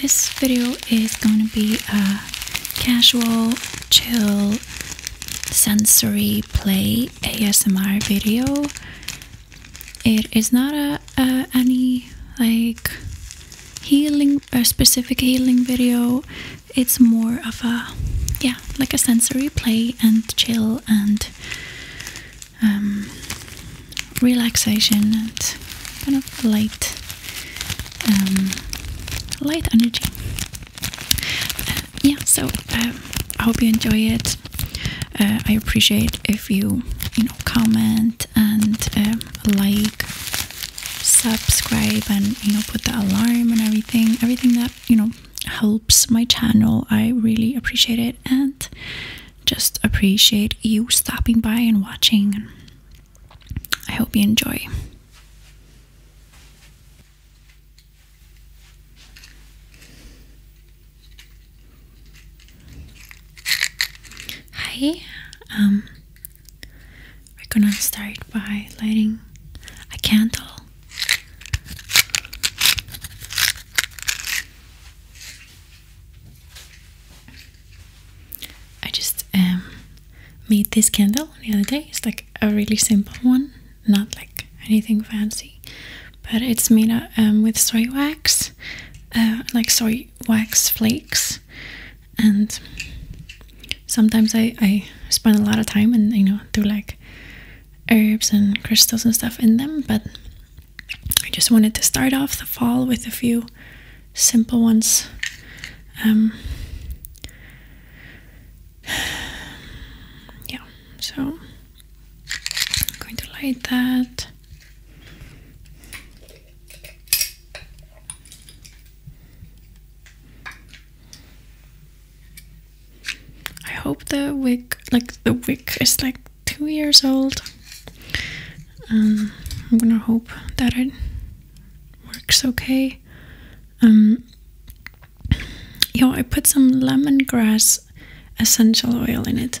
This video is going to be a casual, chill, sensory play ASMR video. It is not a, any like healing a specific healing video. It's more of a yeah, like a sensory play and chill and um, relaxation and kind of light, um, light energy. yeah, so um, I hope you enjoy it. Uh, I appreciate if you, you know, comment and um, like, subscribe, and you know, put the alarm and everything. Everything that you know helps my channel. I really appreciate it. And just appreciate you stopping by and watching. I hope you enjoy. Hi, um, we're gonna start by lighting a candle. I just um, made this candle the other day. It's like a really simple one, not like anything fancy, but it's made um, with soy wax, uh, like soy wax flakes, and sometimes I spend a lot of time and you know do like herbs and crystals and stuff in them, but I just wanted to start off the fall with a few simple ones. Um, yeah, so I'm going to light that. I hope the wick, like the wick, is like two years old. Um, I'm gonna hope that it works okay. Um, yeah, I put some lemongrass essential oil in it.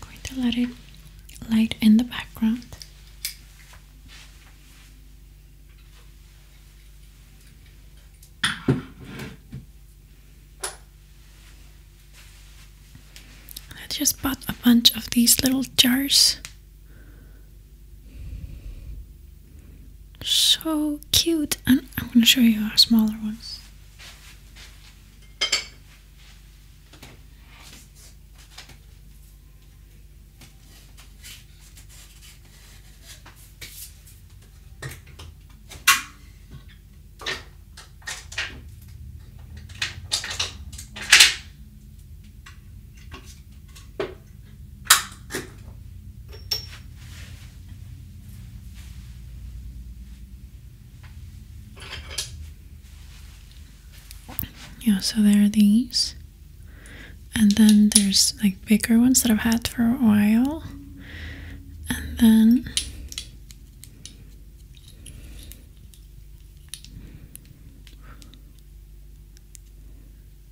Going to let it light in the background. I just bought a bunch of these little jars. So cute. And I'm going to show you our smaller ones. Yeah, so there are these. And then there's like bigger ones that I've had for a while and then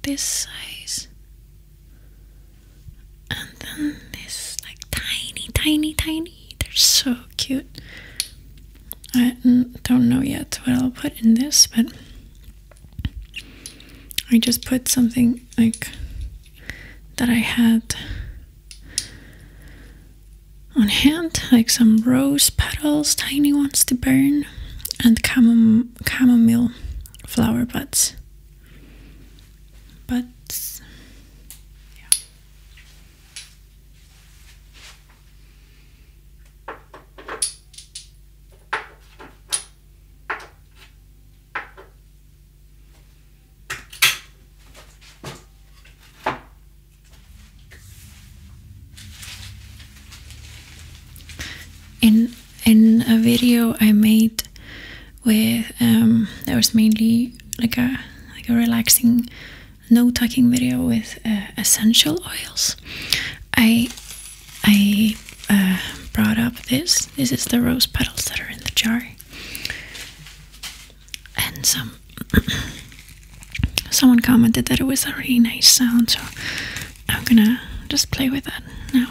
this size and then this like tiny tiny tiny they're so cute I don't know yet what I'll put in this but I just put something like that I had on hand, like some rose petals, tiny ones to burn, and chamomile flower buds. But yeah. In in a video I made where um, was mainly like a like a relaxing no talking video with uh, essential oils. I I uh, brought up this. This is the rose petals that are in the jar. And some someone commented that it was a really nice sound, so I'm gonna just play with that now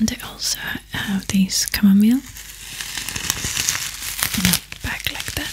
And I also have these chamomile in a bag like that.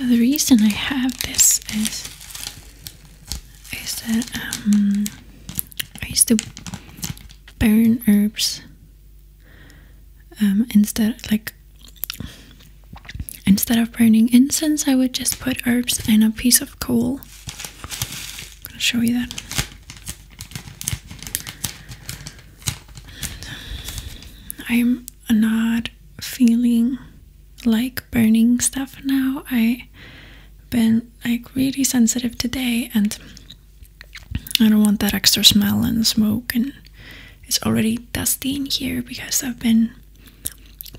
So the reason I have this is I used to um, I used to burn herbs um, instead like instead of burning incense I would just put herbs in a piece of coal. I'm gonna show you that. I'm not feeling like burning stuff now. I been like really sensitive today and I don't want that extra smell and smoke and it's already dusty in here because I've been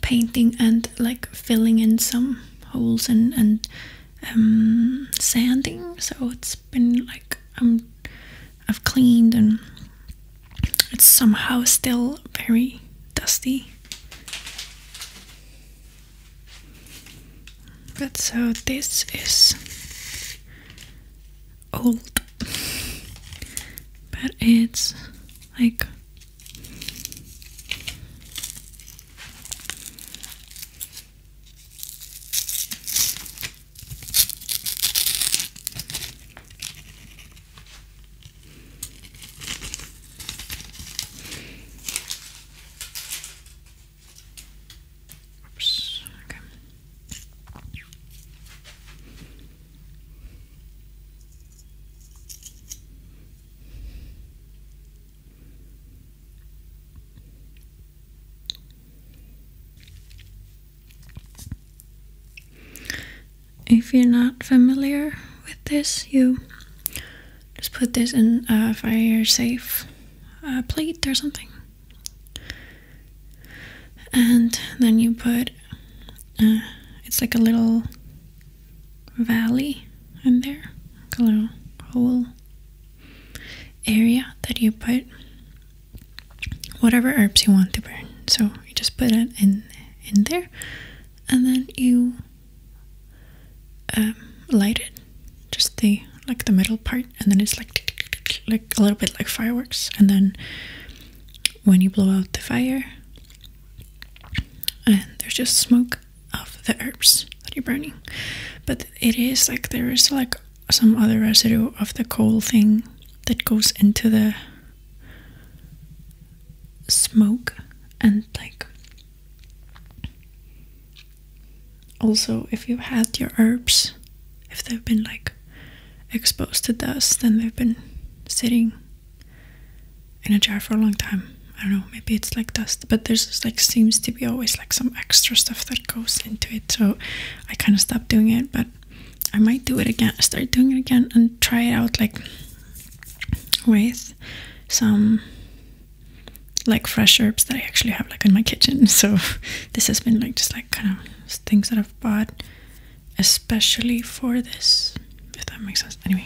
painting and like filling in some holes and and um, sanding so it's been like I'm um, I've cleaned and it's somehow still very dusty but so this is old, but it's like if you're not familiar with this, you just put this in a fire safe plate or something. And then you put uh, it's like a little valley in there, a little hole area that you put whatever herbs you want to burn. So you just put it in in there, and then you um, light it, just the like the metal part, and then it's like like a little bit like fireworks, and then when you blow out the fire, and there's just smoke of the herbs that you're burning, but it is like there is like some other residue of the coal thing that goes into the smoke and like also, if you had your herbs, if they've been like exposed to dust then they've been sitting in a jar for a long time, I don't know, maybe it's like dust, but there's like seems to be always like some extra stuff that goes into it. So I kind of stopped doing it, but I might do it again, start doing it again and try it out like with some like fresh herbs that I actually have like in my kitchen. So this has been like just like kind of things that I've bought especially for this, if that makes sense. Anyway.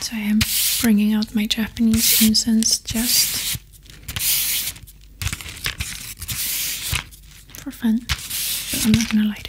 So I am bringing out my Japanese incense just for fun, I'm not gonna light it.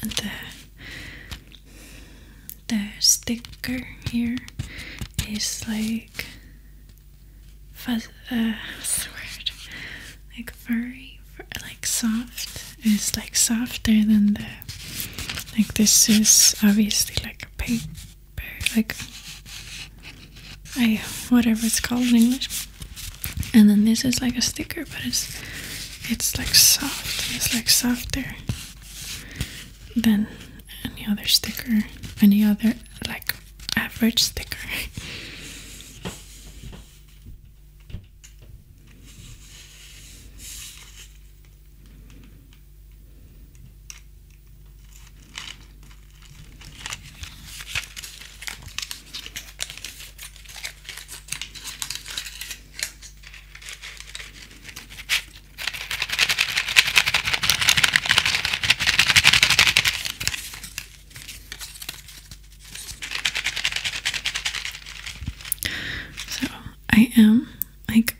The the sticker here is like fuzz, uh, word? like very like soft. It's like softer than the like this is obviously like a paper, like I whatever it's called in English. And then this is like a sticker, but it's it's like soft. It's like softer than any other sticker, any other like average sticker. So I am like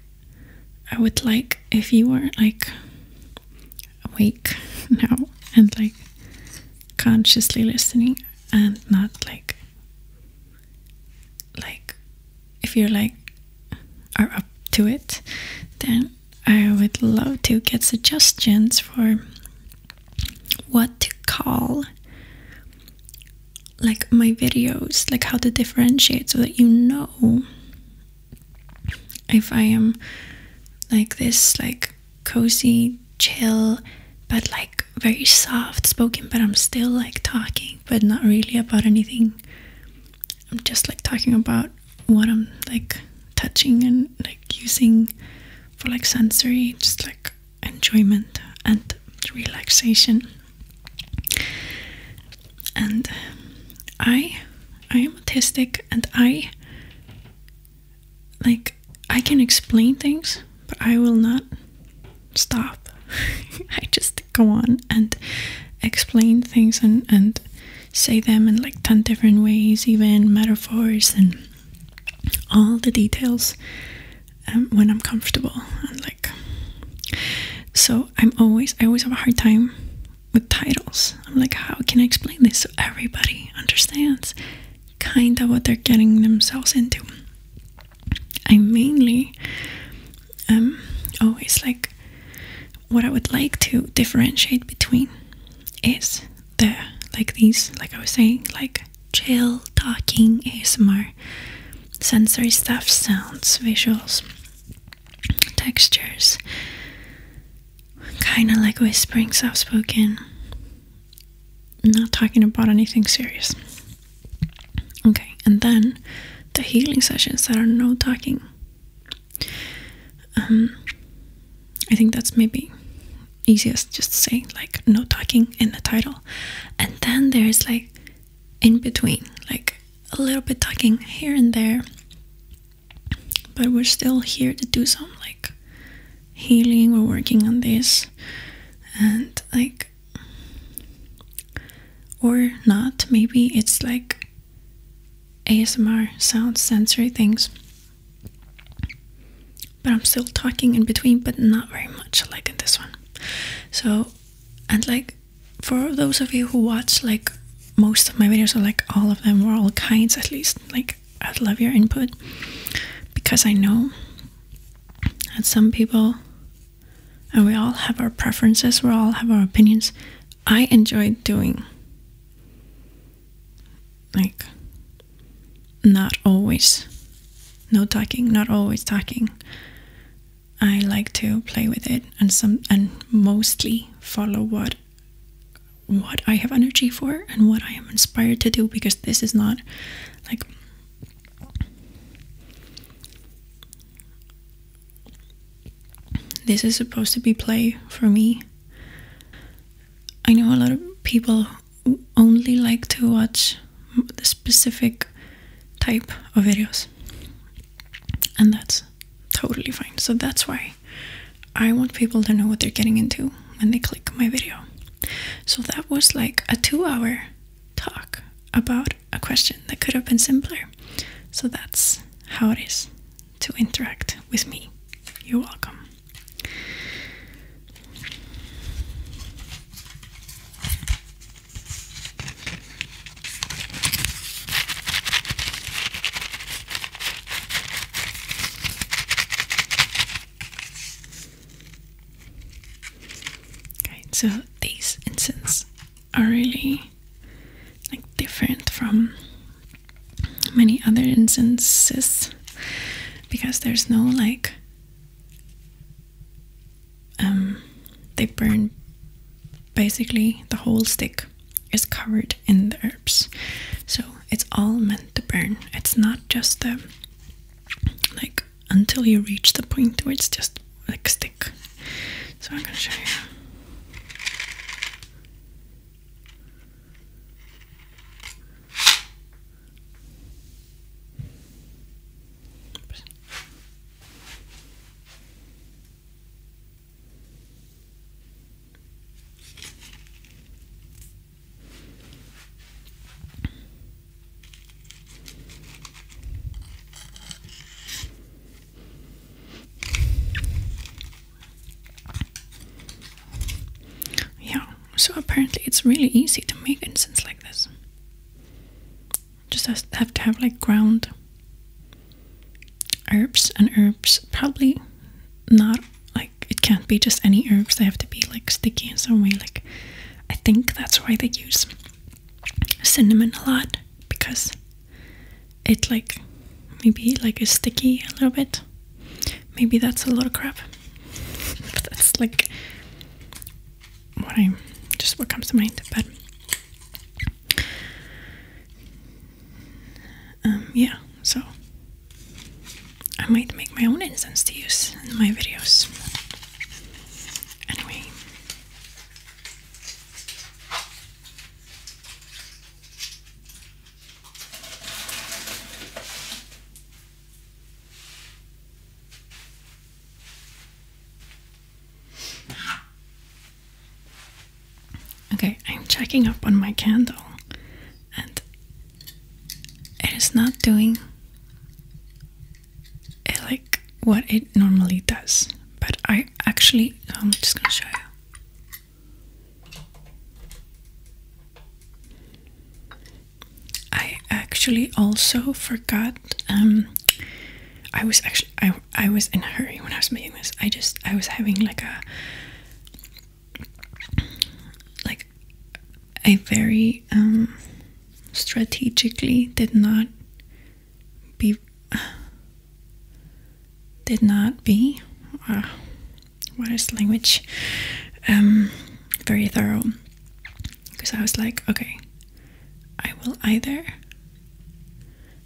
I would like if you are like awake now and like consciously listening and not like like if you're like are up to it then I would love to get suggestions for what to call like my videos, like how to differentiate so that you know if I am like this, like cozy, chill, but like very soft spoken, but I'm still like talking, but not really about anything. I'm just like talking about what I'm like touching and like using for like sensory, just like enjoyment and relaxation and um, i i am autistic and i like i can explain things but i will not stop i just go on and explain things and and say them in like 10 different ways even metaphors and all the details um, when I'm comfortable and like so I'm always I always have a hard time with titles. I'm like how can I explain this so everybody understands kind of what they're getting themselves into. I mainly um always like what I would like to differentiate between is the like these like I was saying like chill talking ASMR sensory stuff sounds, visuals, textures. Kind of like whispering, soft spoken. Not talking about anything serious. Okay, and then the healing sessions that are no talking. Um, I think that's maybe easiest just to say like no talking in the title. And then there's like in between, like a little bit talking here and there, but we're still here to do some like healing. We're working on this, and like, or not, maybe it's like ASMR sounds, sensory things, but I'm still talking in between, but not very much like in this one. So, and like for those of you who watch like most of my videos are like all of them were all kinds at least like I'd love your input because I know that some people and we all have our preferences, we all have our opinions. I enjoy doing like not always no talking, not always talking. I like to play with it and some and mostly follow what what I have energy for and what I am inspired to do because this is not like this is supposed to be play for me. I know a lot of people only like to watch the specific type of videos and that's totally fine so that's why i want people to know what they're getting into when they click my video so that was like a two hour talk about a question that could have been simpler so that's how it is to interact with me you're welcome Okay, so these incense are really like different from many other incenses because there's no like um, they burn basically the whole stick is covered in the herbs so it's all meant to burn it's not just the like until you reach the point where it's just like stick so i'm gonna show you yeah, so apparently it's really easy to make incense like this. Just have to have like ground herbs and herbs. Probably not like it can't be just any herbs. They have to be like sticky in some way. Like I think that's why they use cinnamon a lot because it like maybe like is sticky a little bit. Maybe that's a lot of crap. that's like what I just what comes to mind. But um, yeah, so I might make my own incense to use in my videos. Anyway. Okay, I'm checking up on my candle and it is not doing eh, like what it normally does. But I actually, I'm just gonna show you. I actually also forgot. Um, I was actually I I was in a hurry when I was making this. I just I was having like a like I very um, strategically did not be did not be uh, what is language um, very thorough because I was like, okay, I will either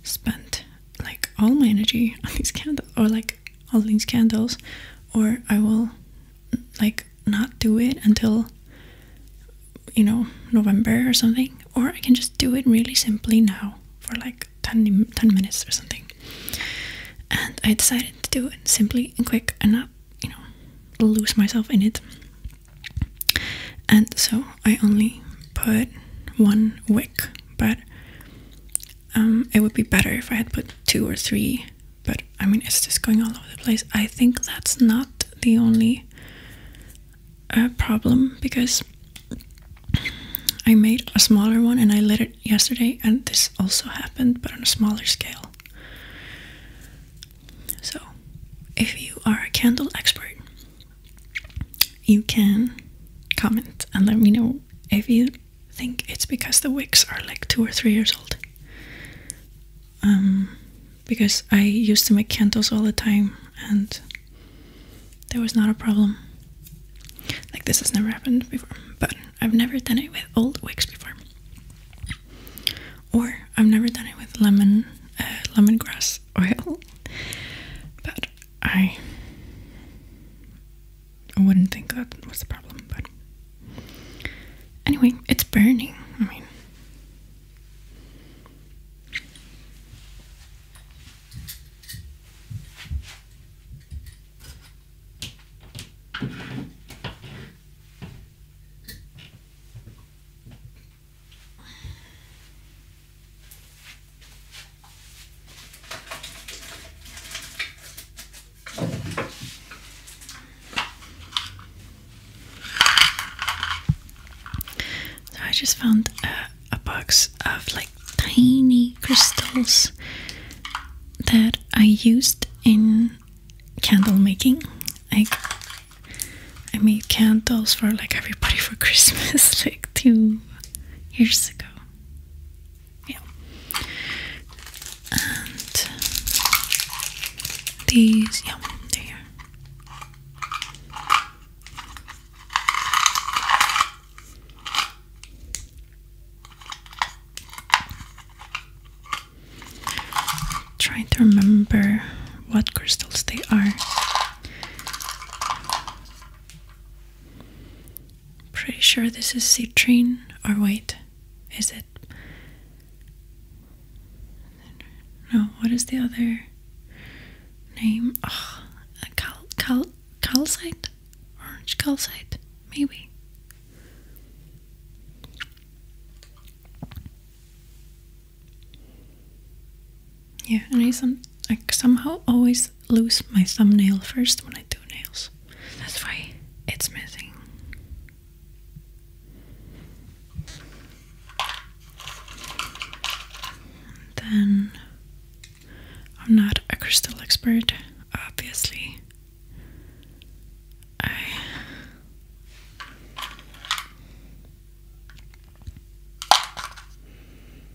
spend like all my energy on these candles or like all these candles, or I will like not do it until you know November or something, or I can just do it really simply now for like 10, minutes or something. And I decided to do it simply and quick and not, you know, lose myself in it and so I only put one wick, but um, it would be better if I had put two or three. But I mean, it's just going all over the place. I think that's not the only uh, problem because I made a smaller one and I lit it yesterday, and this also happened, but on a smaller scale. So, if you are a candle expert, you can comment and let me know if you think it's because the wicks are like two or three years old. Um, because I used to make candles all the time and there was not a problem. Like, this has never happened before, but I've never done it with old wicks before or I've never done it with lemon uh, lemongrass oil, but I I wouldn't think that was the problem. But anyway, it's burning. I mean. So I just found a, box of like tiny crystals that I used in candle making. Like I made candles for like everybody for Christmas like two years ago. Yeah. And these, yeah, they're Trying to remember what crystals they are. Pretty sure this is citrine, or wait, is it? No, what is the other name? Oh, cal cal calcite, orange calcite, maybe. Yeah, and I, some, I somehow always lose my thumbnail first when I do nails. That's why it's missing. Then I'm not a crystal expert, obviously.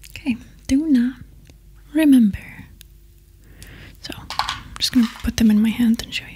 Okay, do not remember. So I'm just gonna put them in my hand and show you.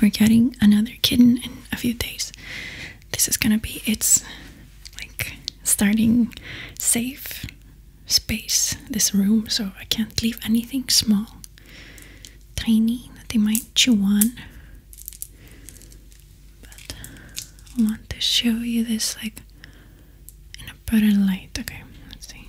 We're getting another kitten in a few days. This is gonna be its like starting safe space, this room, so I can't leave anything small, tiny that they might chew on. But I want to show you this like in a better light. Okay, let's see.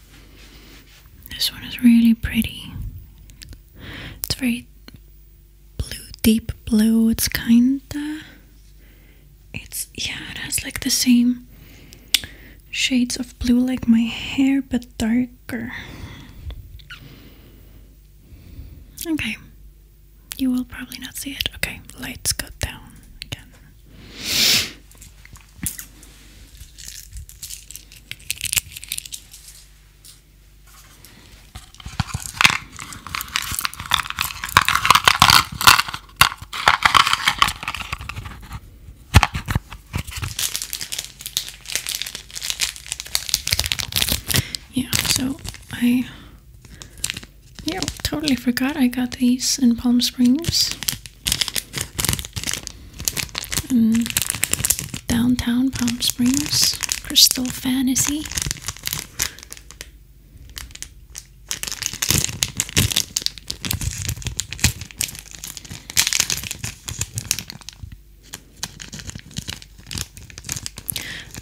This one is really pretty. It's very blue, deep blue. It's kinda. It's yeah. It has like the same shades of blue like my hair, but darker. Okay. You will probably not see it. Okay, lights go down again. Yeah, so I yeah, totally forgot I got these in Palm Springs. Mm. downtown Palm Springs, Crystal Fantasy.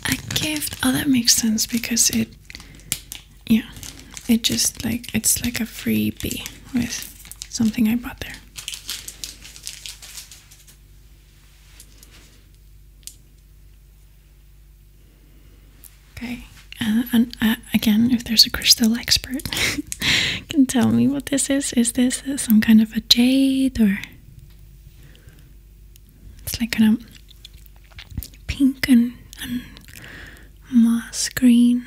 I gave oh that makes sense because it yeah it just like it's like a freebie with something I bought there Okay, uh, and uh, again, if there's a crystal expert, can tell me what this is. Is this uh, some kind of a jade or? It's like kind of pink and moss green.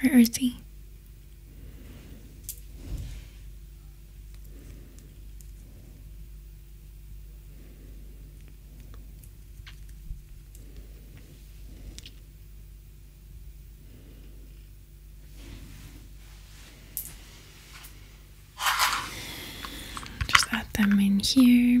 Where is he? Just add them in here.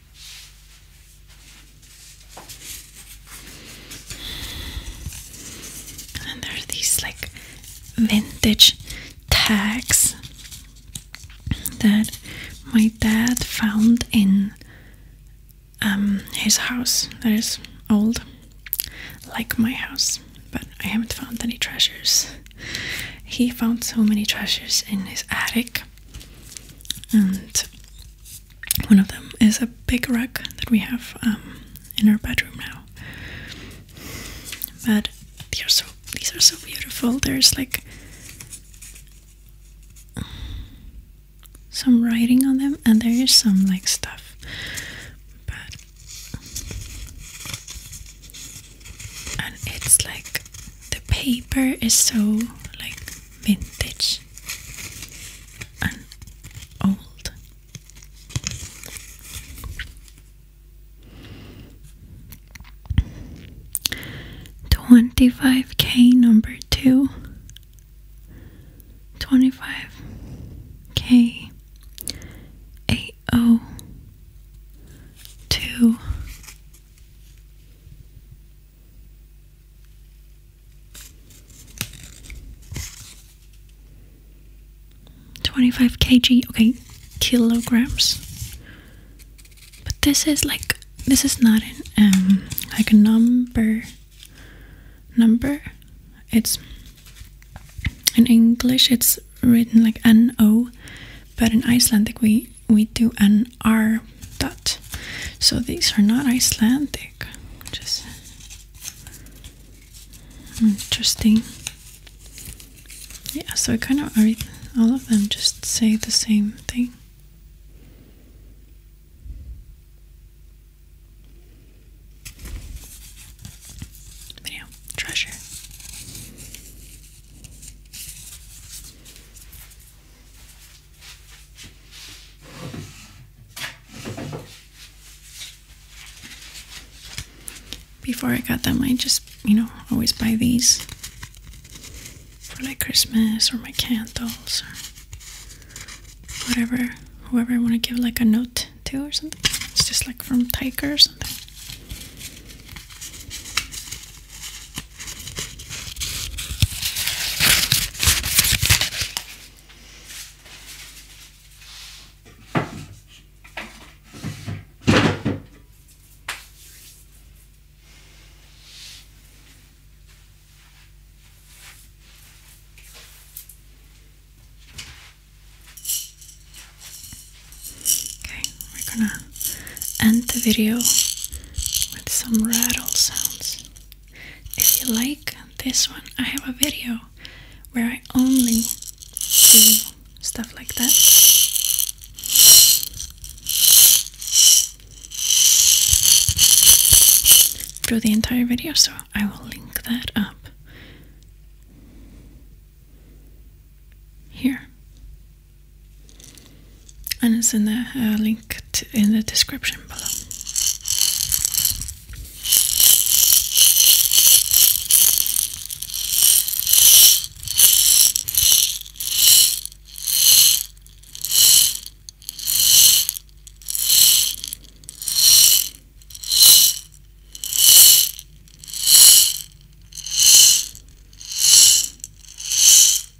And there are these like vintage tags that my dad found in um, his house that is old, like my house, but I haven't found any treasures. He found so many treasures in his attic, and one of them is a big rug that we have um, in our bedroom now. But they are so these are so beautiful. There's like some writing on them, and there is some like stuff. But and it's like the paper is so like vintage and old. Twenty five K number two. Twenty five K A O oh two 25 kg, okay, kilograms. But this is like, this is not an, um, like a number, number. It's, in English it's written like N-O, but in Icelandic we, we do an. Are dot. So these are not Icelandic. Just interesting. Yeah, so kind of all of them just say the same thing. But treasure. Before I got them, I just, you know, always buy these for like Christmas or my candles or whatever, whoever I want to give like a note to or something. It's just like from Tiger or something. Okay, we're gonna end the video with some rattle sounds. If you like this one, I have a video where I only do stuff like that. Through the entire video, so I will link that up here and it's in the uh, link in the description below.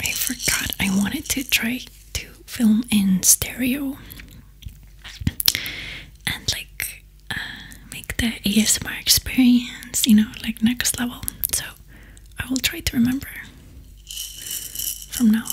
I forgot I wanted to try to film in stereo and like uh, make the ASMR experience, you know, like next level. So I will try to remember from now on.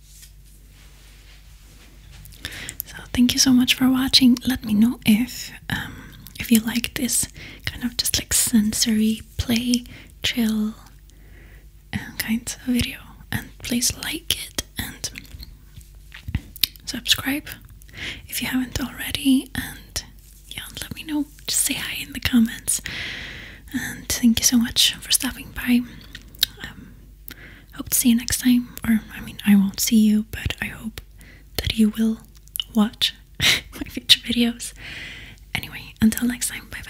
So thank you so much for watching. Let me know if um, if you like this kind of just like sensory play, chill uh, kind of video, and please like it and subscribe if you haven't already. And yeah, let me know. Just say hi in the comments. And thank you so much for stopping by. Um, hope to see you next time. Or, I mean, I won't see you, but I hope that you will watch my future videos. Anyway, until next time, bye bye.